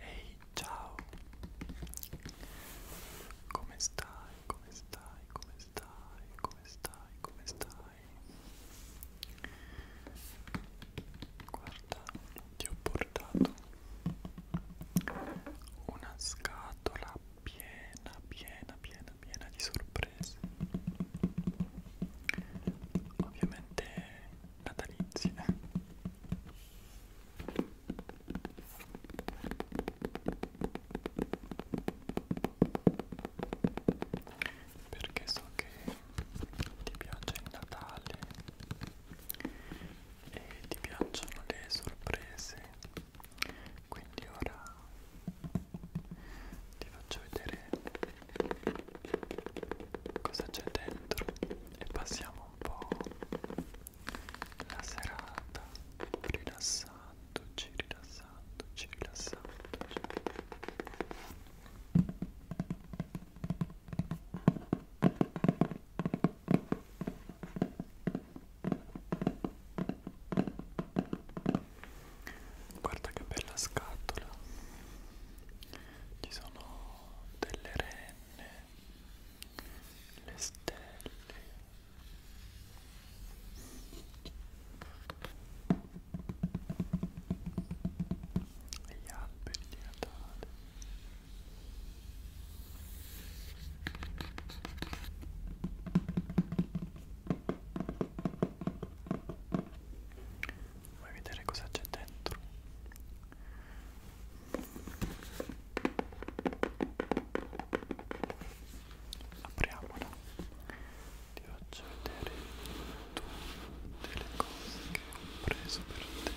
Ehi, hey, ciao! Come stai? Come stai? Come stai? Come stai? Come stai? Guarda, ti ho portato una scatola piena, piena, piena, piena di sorprese. Ovviamente natalizie perché so che ti piace il Natale e ti piacciono le sorprese quindi ora ti faccio vedere cosa c'è dentro e passiamo un po' la serata rilassandoci, rilassandoci, rilassandoci. Guarda che bella scatola. Ci sono delle renne, le stelle. Gli alberi di Natale. Vuoi vedere cosa c'è dentro? Apriamola. Ti faccio vedere tutte le cose che ho preso per te.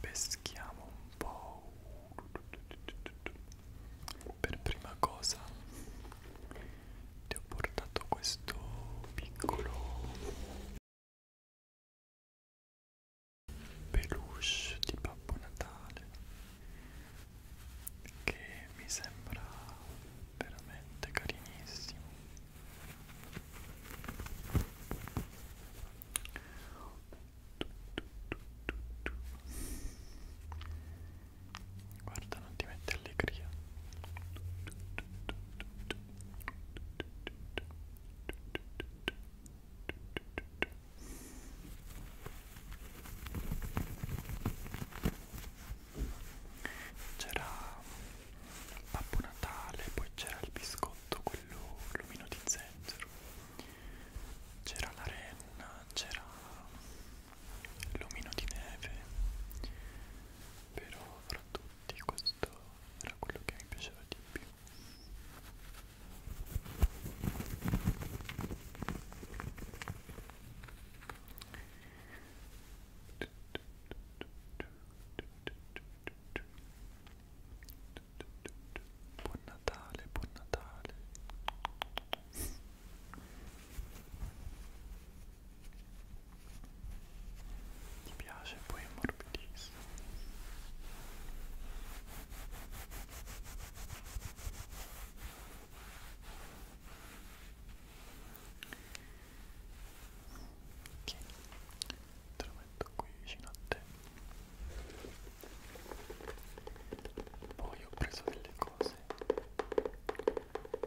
peschiamo un po' per prima cosa ti ho portato questo piccolo peluche di Babbo Natale che mi sembra veramente carinissimo Guarda, non ti mette allegria. C'era Babbo Natale, poi c'era il biscotto, quello lumino di zenzero, c'era la renna, c'era l'omino di neve, però fra tutti questo era quello che mi piaceva di più. Buon Natale, buon Natale. Ti piace poi è morbidissimo ok te lo metto qui vicino a te poi ho preso delle cose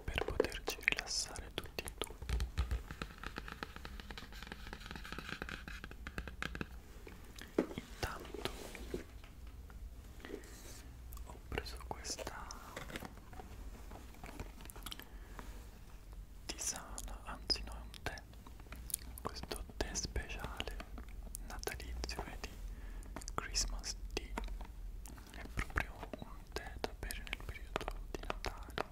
per poterci rilassare tutti e due intanto ho preso questa tisana, anzi no è un tè, questo tè speciale natalizio e di Christmas tea, è proprio un tè da bere nel periodo di Natale.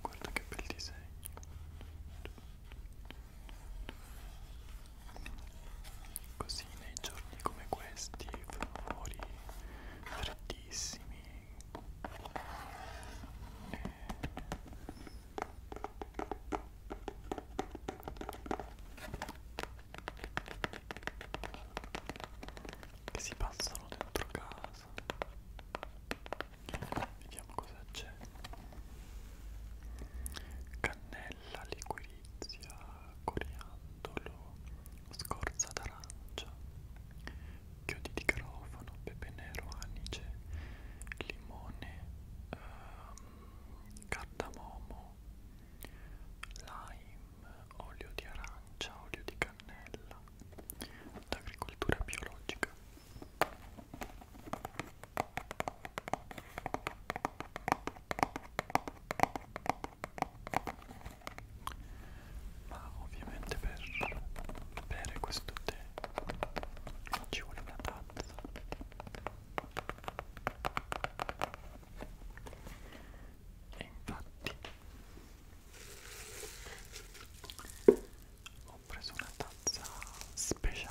Guarda che bel disegno. Così sì, nei giorni come questi fanno fuori freddissimi e... Eh. che si passano dentro casa vediamo cosa c'è cannella liquidi delizia, coriandolo, scorza d'arancia, chiodi di garofano, pepe nero, anice, limone, ehm, cardamomo, lime, olio di arancia, olio di cannella, l'agricoltura biologica ma ovviamente per bere questo tè non ci vuole una tazza e infatti ho preso una tazza speciale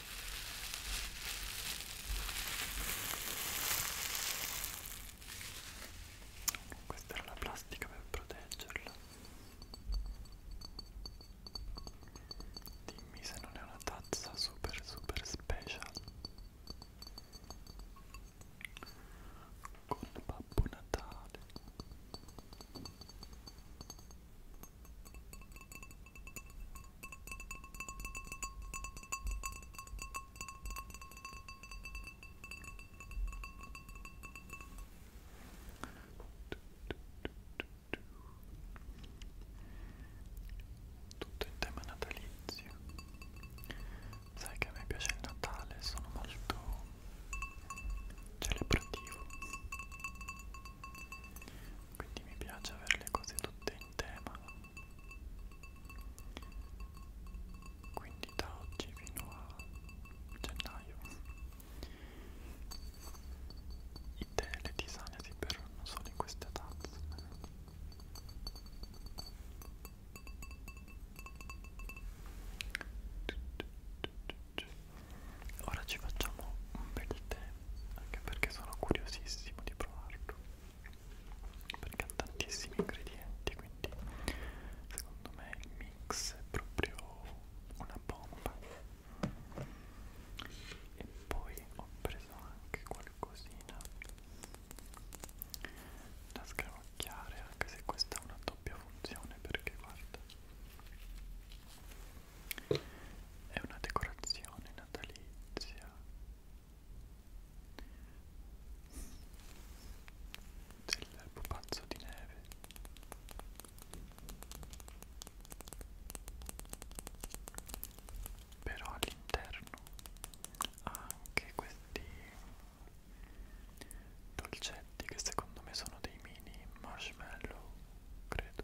Questa era la plastica per proteggerla. Dimmi se non è una tazza super super special. Con Babbo Natale tutto in tema natalizio sai che a me piace il Natale sono molto celebrativo quindi mi piace avere le cose tutte in tema quindi da oggi fino a gennaio i tè e le tisane si berranno solo in queste tazze Ora ci facciamo un bel tè anche perché sono curiosissimo di provarlo perché ha tantissimi ingredienti quindi secondo me il mix è proprio una bomba e poi ho preso anche qualcosina da sgranocchiare anche se questa ha una doppia funzione perché guarda è una decorazione natalizia. Del pupazzo di neve. Però all'interno ha anche questi dolcetti che secondo me sono dei mini marshmallow, credo.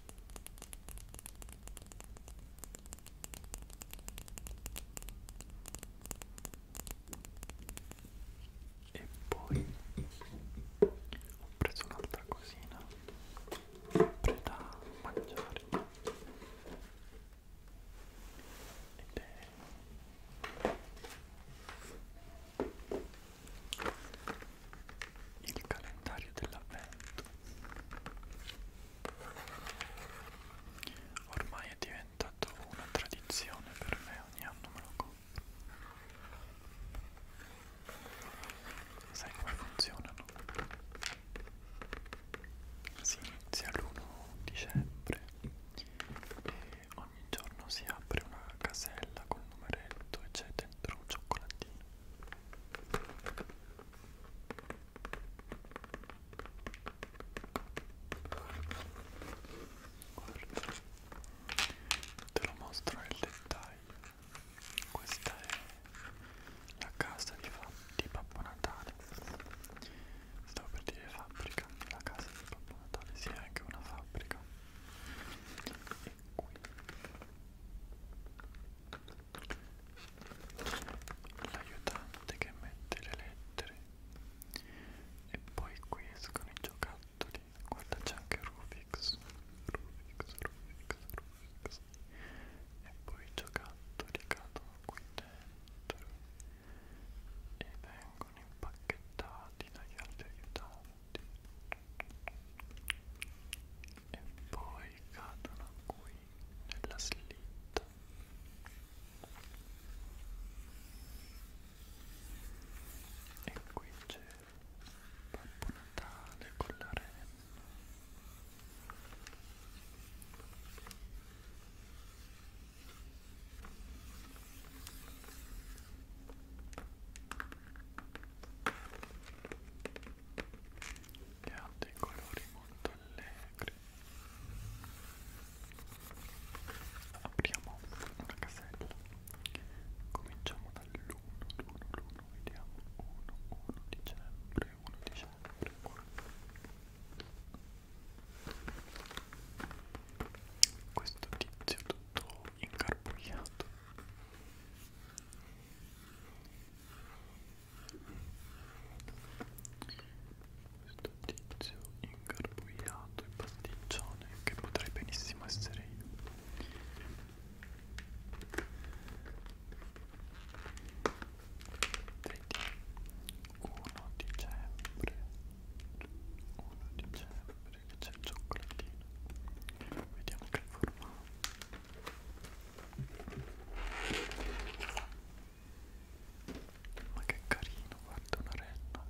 e poi ho preso un'altra cosina sempre da mangiare ed è il calendario dell'avvento Ormai è diventato una tradizione per me, ogni anno me lo compro. Sai come funzionano? Si inizia l'1 dicembre e ogni giorno si apre una casella col numeretto e c'è dentro un cioccolatino. Guarda, te lo mostro nel dettaglio. Questa è la casa di, di Babbo Natale. Stavo per dire fabbrica, la casa di Babbo Natale, si sì, è anche una fabbrica. E qui l'aiutante che mette le lettere e poi qui escono i giocattoli guarda c'è anche Rubix Rubix, Rubix, Rubix e poi i giocattoli cadono qui dentro e vengono impacchettati dagli altri aiutanti e poi cadono qui nella slitta e qui c'è Babbo Natale con la renna e che ha dei colori molto allegri apriamo una casella cominciamo dall'1 1 1 vediamo 1 1 dicembre 1 dicembre 1 questo tizio tutto incarbugliato questo tizio ingarbugliato e pasticcione che potrei benissimo essere io Vedi, 1 dicembre 1 dicembre che c'è il cioccolatino vediamo che formato ma che carino, guarda una renna.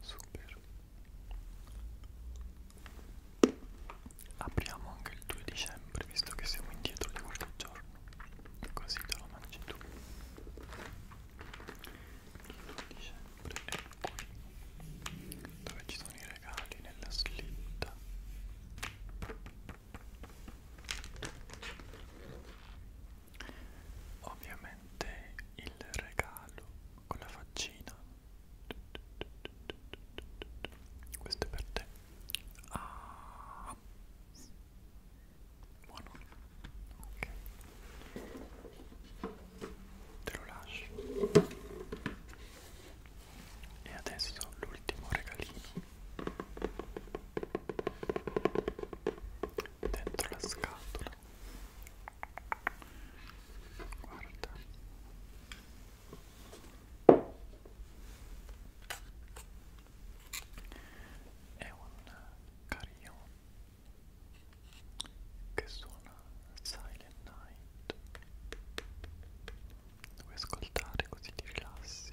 Super. Apriamo anche il 2 dicembre, visto che siamo indietro di qualche giorno. Così te lo mangi tu. Il 2 dicembre è qui. Dove ci sono i regali nella slitta ovviamente il regalo con la faccina questo è per te ah. buono ok te lo lascio e adesso l'ultimo regalino dentro la scatola guarda è un carillon che suona Silent Night Devi ascoltare così ti rilassi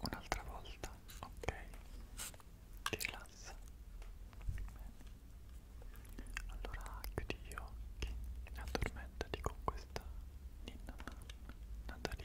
Un'altra volta, ok? Ti rilassa. Bene. Allora chiudi gli occhi e addormentati con questa ninna natalizia.